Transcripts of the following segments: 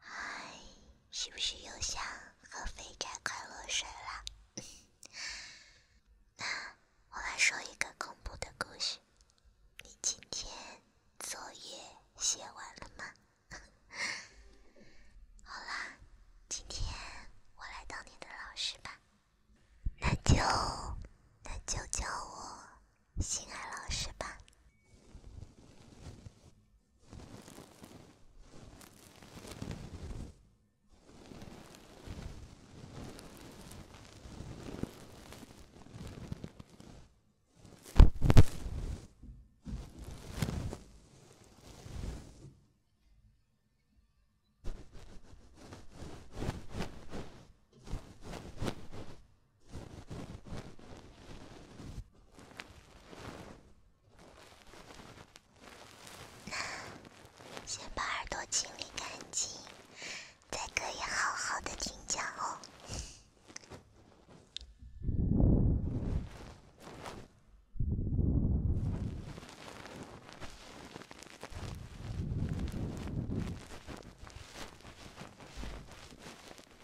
哎，是不是又想喝肥宅快乐水了？那我来说一个恐怖的故事。你今天作业写完了吗？好啦，今天我来当你的老师吧。那就那就叫我。心爱老师吧。先把耳朵清理干净，才可以好好的听讲哦。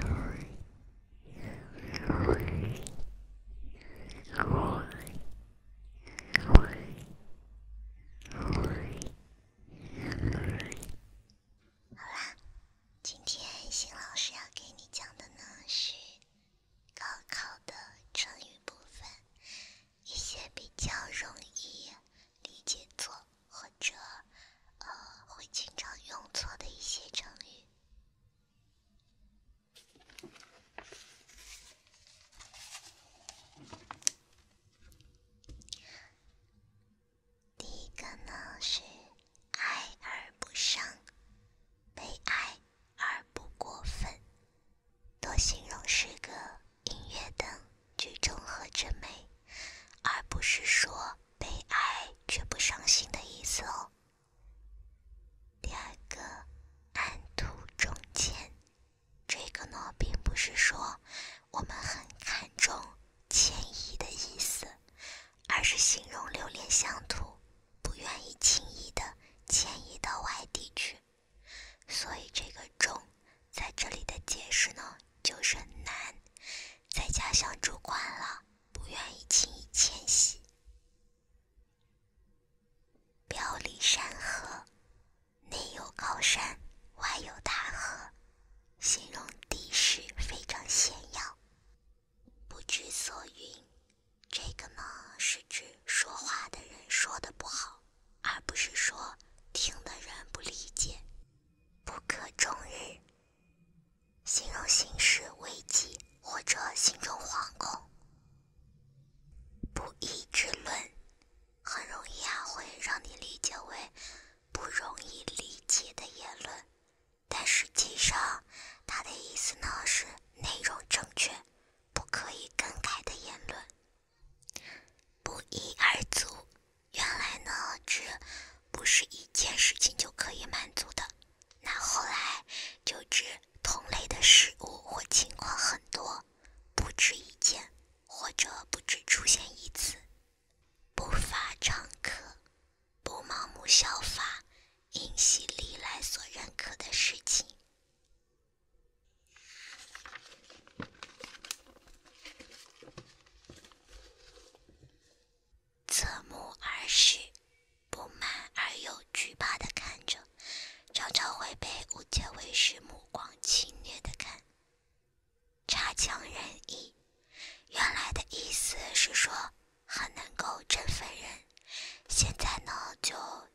好啦，今天新老师要给你讲的呢是高考的成语部分，一些比较容易理解错。或者，呃，会经常用错的一些成语。第一个呢是“哀而不伤”，被爱而不过分，多形容诗歌、音乐等。去中和之美，而不是说悲哀却不伤心的意思哦。第二个安土中迁，这个呢并不是说我们很看重迁移的意思，而是形容留恋乡土，不愿意轻易的迁移到外地去。所以这个中在这里的解释呢，就是难，在家乡住惯了，不愿意轻易迁徙。表里山河，内有高山，外有大河，形容地势非常险要。不知所云，这个呢是指说话的人说的不好，而不是说听的人不理解。不可终日，形容形势危急或者心中惶恐。不义之论，很容易啊，会让你理解为不容易理解的言论，但实际上它的意思呢是内容正确、不可以更改的言论。不一而足，原来呢，这不是一件事情就可以满足的。那后来就指同类的事物或情况很多，不止一件，或者不止出现一次。不发常客，不盲目效法，因系历来所认可的事情。侧目而视，不满而又惧怕地看着，常常会被误解为是目光侵略的看。差强人意，原来的意思是说很能够振奋人，现在呢就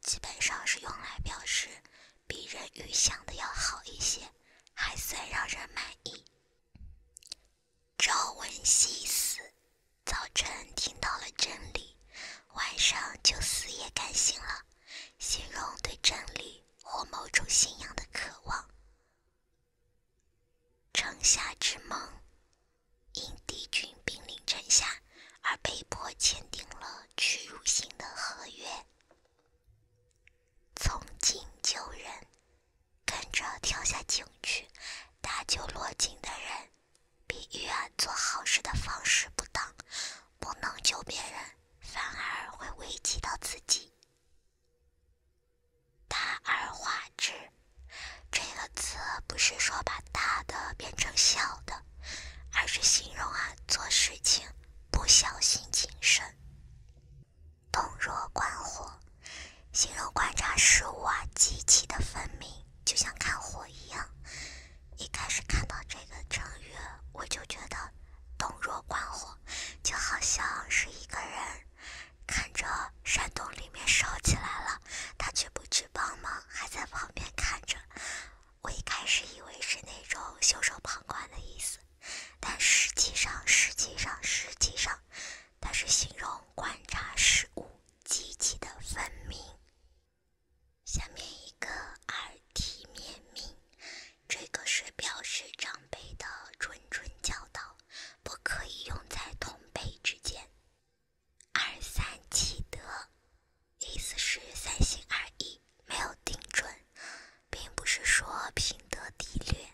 基本上是用来表示。比人预想的要好一些，还算让人满意。朝闻夕死，早晨听到了真理，晚上就死也甘心了，形容对真理或某种信仰的渴望。城下之盟，因敌军兵临城下而被迫签订了屈辱性的合约。从井救人，跟着跳下井去搭救落井的人，比喻做好事的方式不当，不能救别人，反而会危及到自己。大而化之，这个词不是说把大的变成小的，而是形容啊做事情。不小心谨慎，洞若观火，形容观察事物啊极其的分明，就像看火一样。一开始看到这个成语，我就觉得洞若观火，就好像是一个人看着山洞里面烧起来了，他却不去帮忙，还在旁边看着。我一开始以为是那种袖手旁观的意思，但实际上，实际上，实际上，它是形容观察事物极其的分明。下面一个耳提面命，这个是表示长辈的谆谆教导，不可以用在同辈之间。二三记德。意思是三心二意，没有定准，并不是说品德低劣。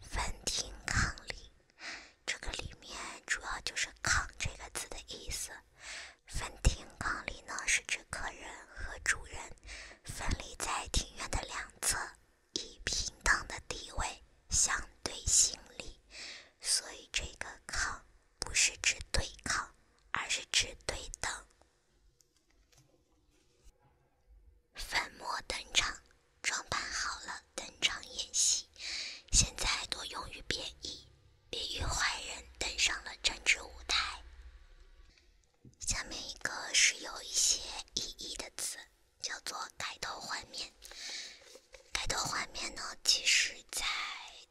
分庭抗礼，这个里面主要就是“抗”这个字的意思。分庭抗礼呢，是指客人和主人分离在庭院的两侧，以平等的地位相对行礼，所以这个“抗”。不是指对抗，而是指对等。粉墨登场，装扮好了登场演戏，现在多用于贬义，比喻坏人登上了政治舞台。下面一个是有一些意义的词，叫做改头换面。改头换面呢，其实在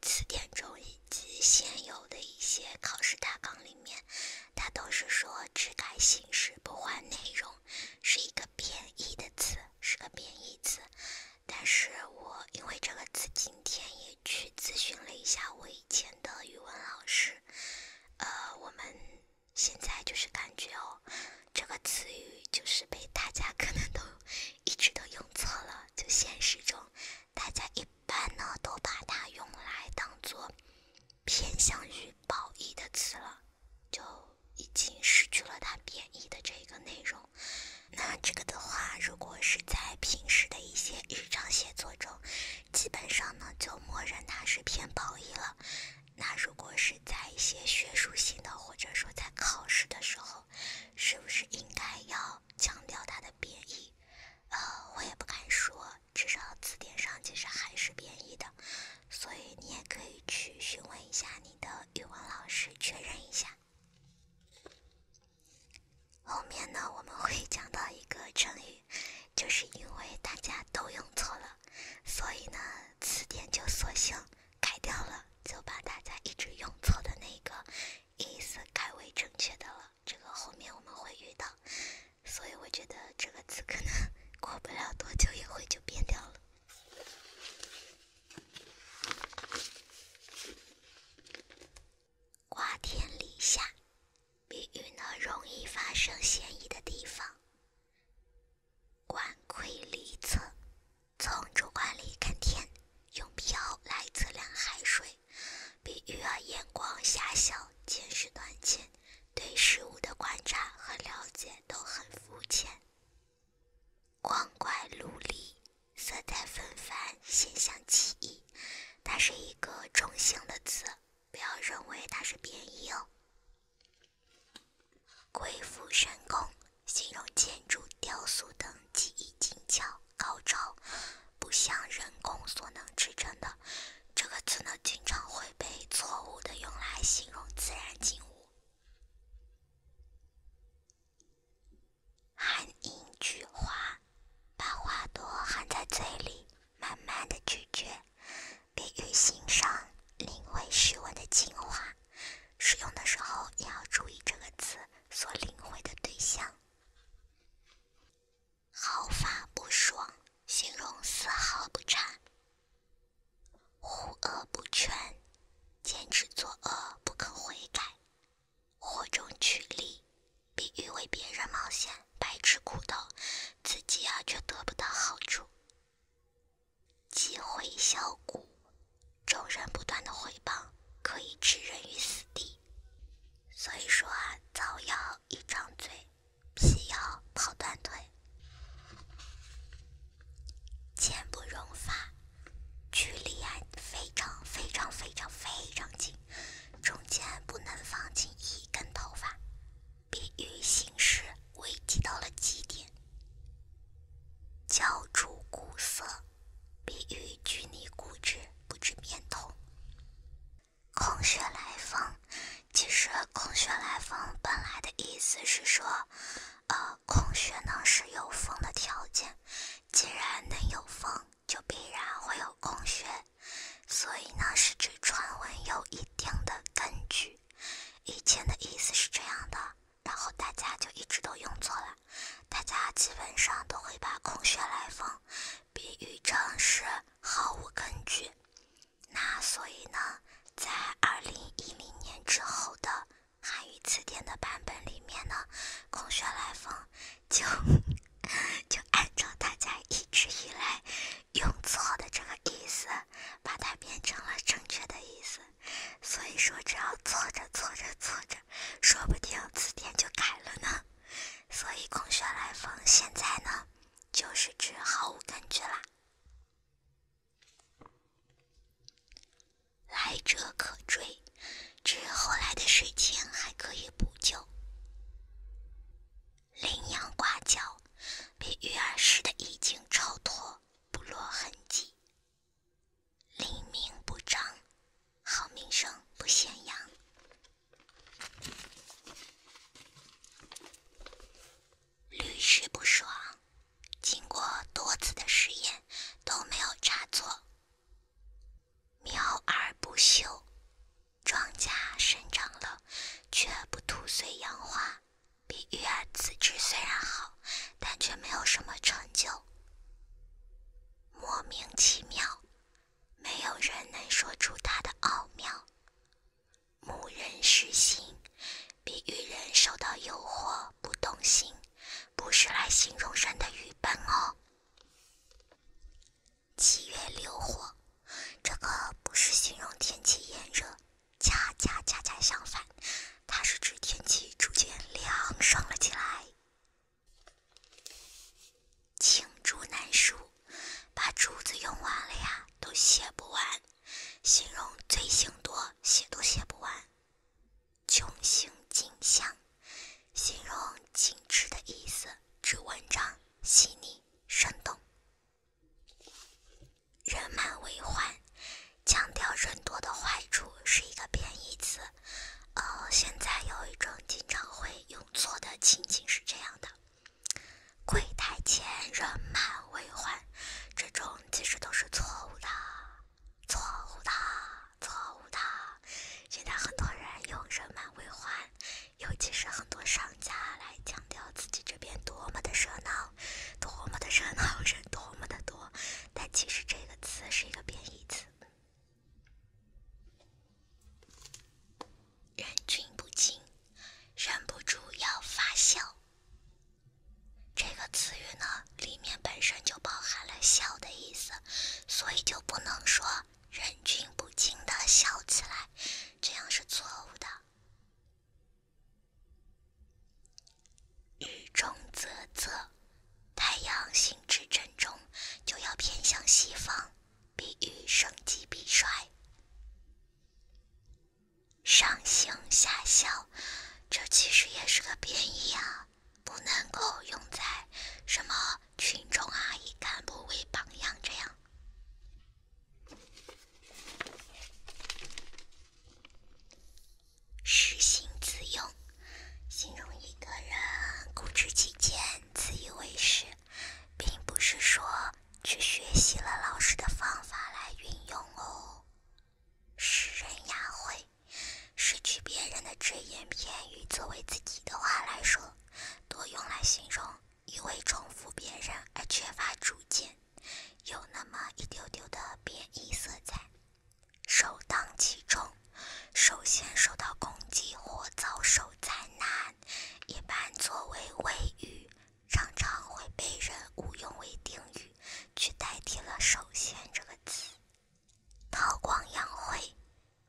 词典中以及现有的一些考试大纲里面，它都是说只改形式不换内容，是一个贬义的词，是个贬义词。但是我因为这个词，今天也去咨询了一下我以前的语文老师，呃，我们现在就是感觉哦，这个词语就是被大家可能都。一直都用错了，就现实中，大家一般呢都把它用来当做偏向于褒义的词了，就已经失去了它贬义的这个内容。那这个的话，如果是在平时的一些日常写作中，基本上呢就默认它是偏褒义了。那如果是在一些学术性的，或者说在考试的时候，是不是应该要强调它的贬义？呃，我也不敢说，至少字典上其实还是贬义的，所以你也可以去询问一下你的语文老师确认一下。后面呢，我们会讲到一个成语，就是因为大家都用错了，所以呢，词典就索性。改掉了，就把大家一直用错的那个意思改为正确的了。这个后面我们会遇到，所以我觉得这个词可能 过不了多久也会就变掉了。瓜田李下，比喻呢容易发生嫌疑的地方。管窥离侧。从竹管里看天，用漂来测量海水，比喻眼光狭小、见识短浅，对事物的观察和了解都很肤浅。光怪陆离，色彩纷繁，现象奇异。它是一个中性的词，不要认为它是贬义哦。鬼斧神工，形容建筑、雕塑等技艺精巧、高超，不像人工所能制成的。这个词呢，经常会被错误的用来形容自然景物。含英菊花，把花朵含在嘴里，慢慢的咀嚼，给予欣赏，领会诗文的精华。使用的时候也要注意这个词所领会的对象。毫发不爽，形容丝毫不差。护恶不全，坚持作恶不肯悔改。火中取栗，比喻为别人冒险，白吃苦头，自己啊却得不到好处。积毁小骨，众人不断的毁谤，可以置人于死地。所以说啊，造谣一张嘴，辟谣跑断腿，见不容发，距离啊非常非常非常非常近，中间不能放进一根头发，比喻形事。危机到了极点。焦灼苦涩，比喻拘泥固执，不知变通。空穴来风，其实“空穴来风”本来的意思是说，呃，空穴呢是有风的条件，既然能有风，就必然会有空穴，所以呢，是指传闻有一定的根据。以前的意思是这样的。然后大家就一直都用错了，大家基本上都会把“空穴来风”比喻成是毫无根据。那所以呢，在2010年之后的汉语词典的版本里面呢，“空穴来风”就 就按照大家一直以来用错的这个意思，把它变成了正确的意思。所以说，只要错着错着错着，说不定词典就改了呢。所以空穴来风，现在呢，就是指毫无根据啦。来者可追，指后来的事情还可以补救。羚羊挂角，比喻儿时的意境超脱。不落痕迹，利名不彰，好名声不显扬，屡试不爽。经过多次的试验，都没有差错。苗而不秀，庄稼生长了，却不吐穗扬花。比喻啊，此质虽然好，但却没有什么成就。莫名其妙，没有人能说出它的奥妙。木人失心，比喻人受到诱惑不动心，不是来形容人的愚笨哦。七月流火，这个不是形容天气炎热。恰恰恰恰相反，它是指天气逐渐凉爽了起来。罄竹难书，把竹子用完了呀，都写不完，形容罪行多，写都写不完。穷行尽相，形容景致的意思，指文章细腻生动。人满为患，强调人多的坏处是一个贬义词。哦，现在有一种经常会用错的情景是这样的：柜台前人满为患，这种其实都是错误的，错误的，错误的。现在很多人用人满为患，尤其是很多商家来强调自己这边多么的热闹。多么的人，好人多么的多，但其实这个词是一个贬义词。忍俊不禁，忍不住要发笑。这个词语呢，里面本身就包含了笑的意思，所以就不能说忍俊不禁的笑起来，这样是错误的。雨中啧啧，太阳行至正中就要偏向西方，比喻盛极必衰。上行下效，这其实也是个贬义啊，不能够用在什么群众啊以干部为榜样这样。实行自用，形容一个人固执己见、自以为是，并不是说去学习了老师的方法来运用哦。诗人雅慧，拾取别人的只言片语作为自己的话来说，多用来形容。一味重复别人而缺乏主见，有那么一丢丢的贬义色彩。首当其冲，首先受到攻击或遭受灾难，一般作为谓语，常常会被人误用为定语，去代替了“首先”这个词。韬光养晦，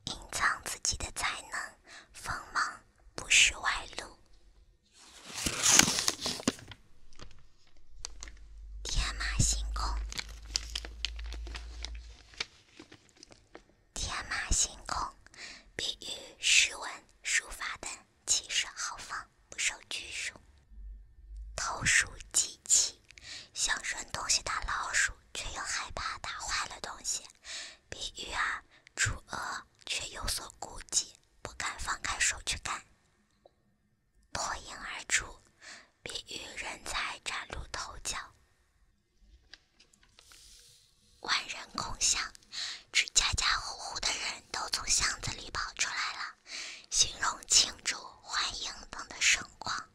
隐藏自己的才能，锋芒不时外露。天马行空，天马行空，比喻诗文、书法等气势豪放，不受拘束。投鼠忌器，想扔东西打老鼠，却又害怕打坏了东西，比喻啊，主恶。却有所顾忌，不敢放开手去干。脱颖而出，比喻人才崭露头角。万人空巷，指家家户户的人都从巷子里跑出来了，形容庆祝、欢迎等的盛况。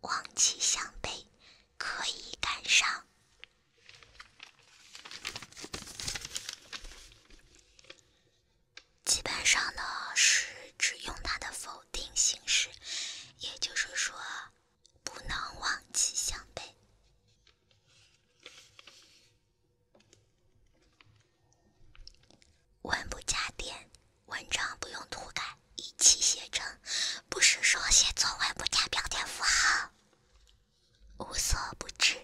望其项背，可以赶上。基本上呢是只用它的否定形式，也就是说，不能忘记相背。文不加点，文章不用涂改，一起写成，不是说写作文不加标点符号。无所不知，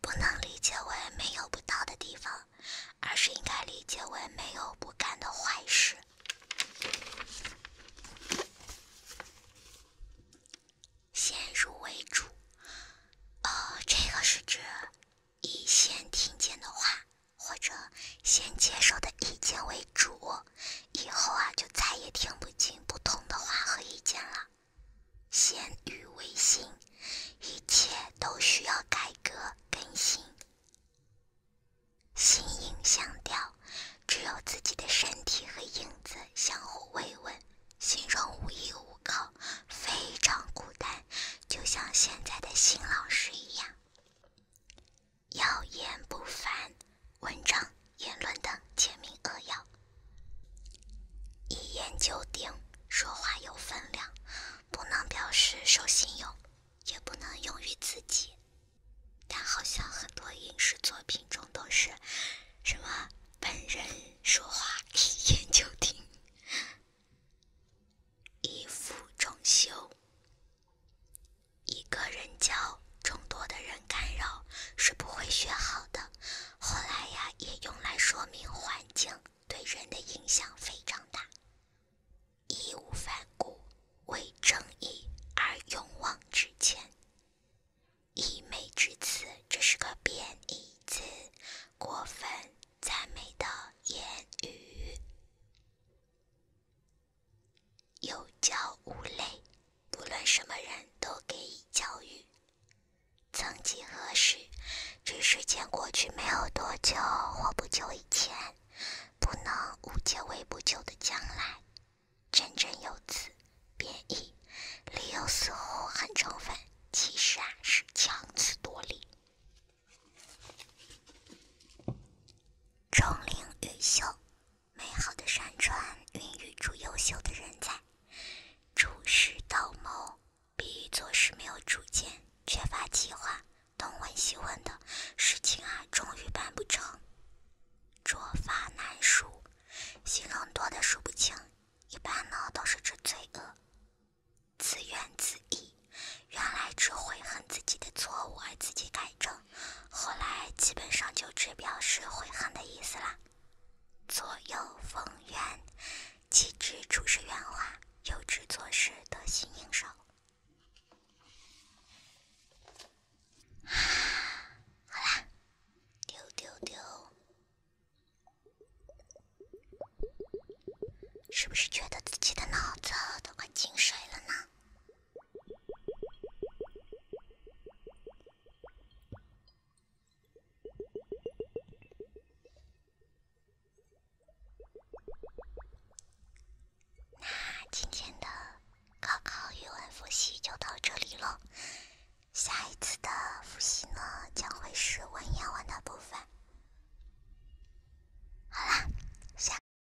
不能理解为没有不到的地方，而是应该理解为没有不干的坏事。先入为主，呃，这个是指以先听见的话或者先接受的意见为主。以后啊，就再也听不进不同的话和意见了。鲜语微信，一切都需要改革更新。心影相吊，只有自己的身体和影子相互慰问，形容无依无靠，非常孤单，就像现在的新老师一样。要言不凡文章、言论的简明扼要；一言九鼎，说话有分量，不能表示守信用，也不能用于自己。但好像很多影视作品中都是什么“本人说话一言九鼎”，一傅众修。一个人教众多的人干扰是不会学好的。后来呀，也用来说明环境对人的影响非常大。义无反顾，为正义而勇往直前。溢美之词，这是个贬义词，过分赞美的言语。有教无类，不论什么人都给予教育。曾几何时，这时间过去没有多久或不久以前，不能误解为不久的将来。振振有词，贬义，理由似乎很充分，其实啊是强词夺理。钟灵毓秀。美好的山川孕育出优秀的人才，处事盗谋比喻做事没有主见，缺乏计划，东问西问的事情啊，终于办不成。拙法难数，形容多的数不清，一般呢都是指罪恶。自怨自艾，原来只悔恨自己的错误而自己改正。后来基本上就只表示悔恨的意思了。左右逢源，既知处事圆滑，又知做事得心应手。啊，好啦，丢丢丢，是不是觉得自己的脑子都快进水了呢？那今天的高考语文复习就到这里了，下一次的复习呢将会是文言文的部分。好啦，下。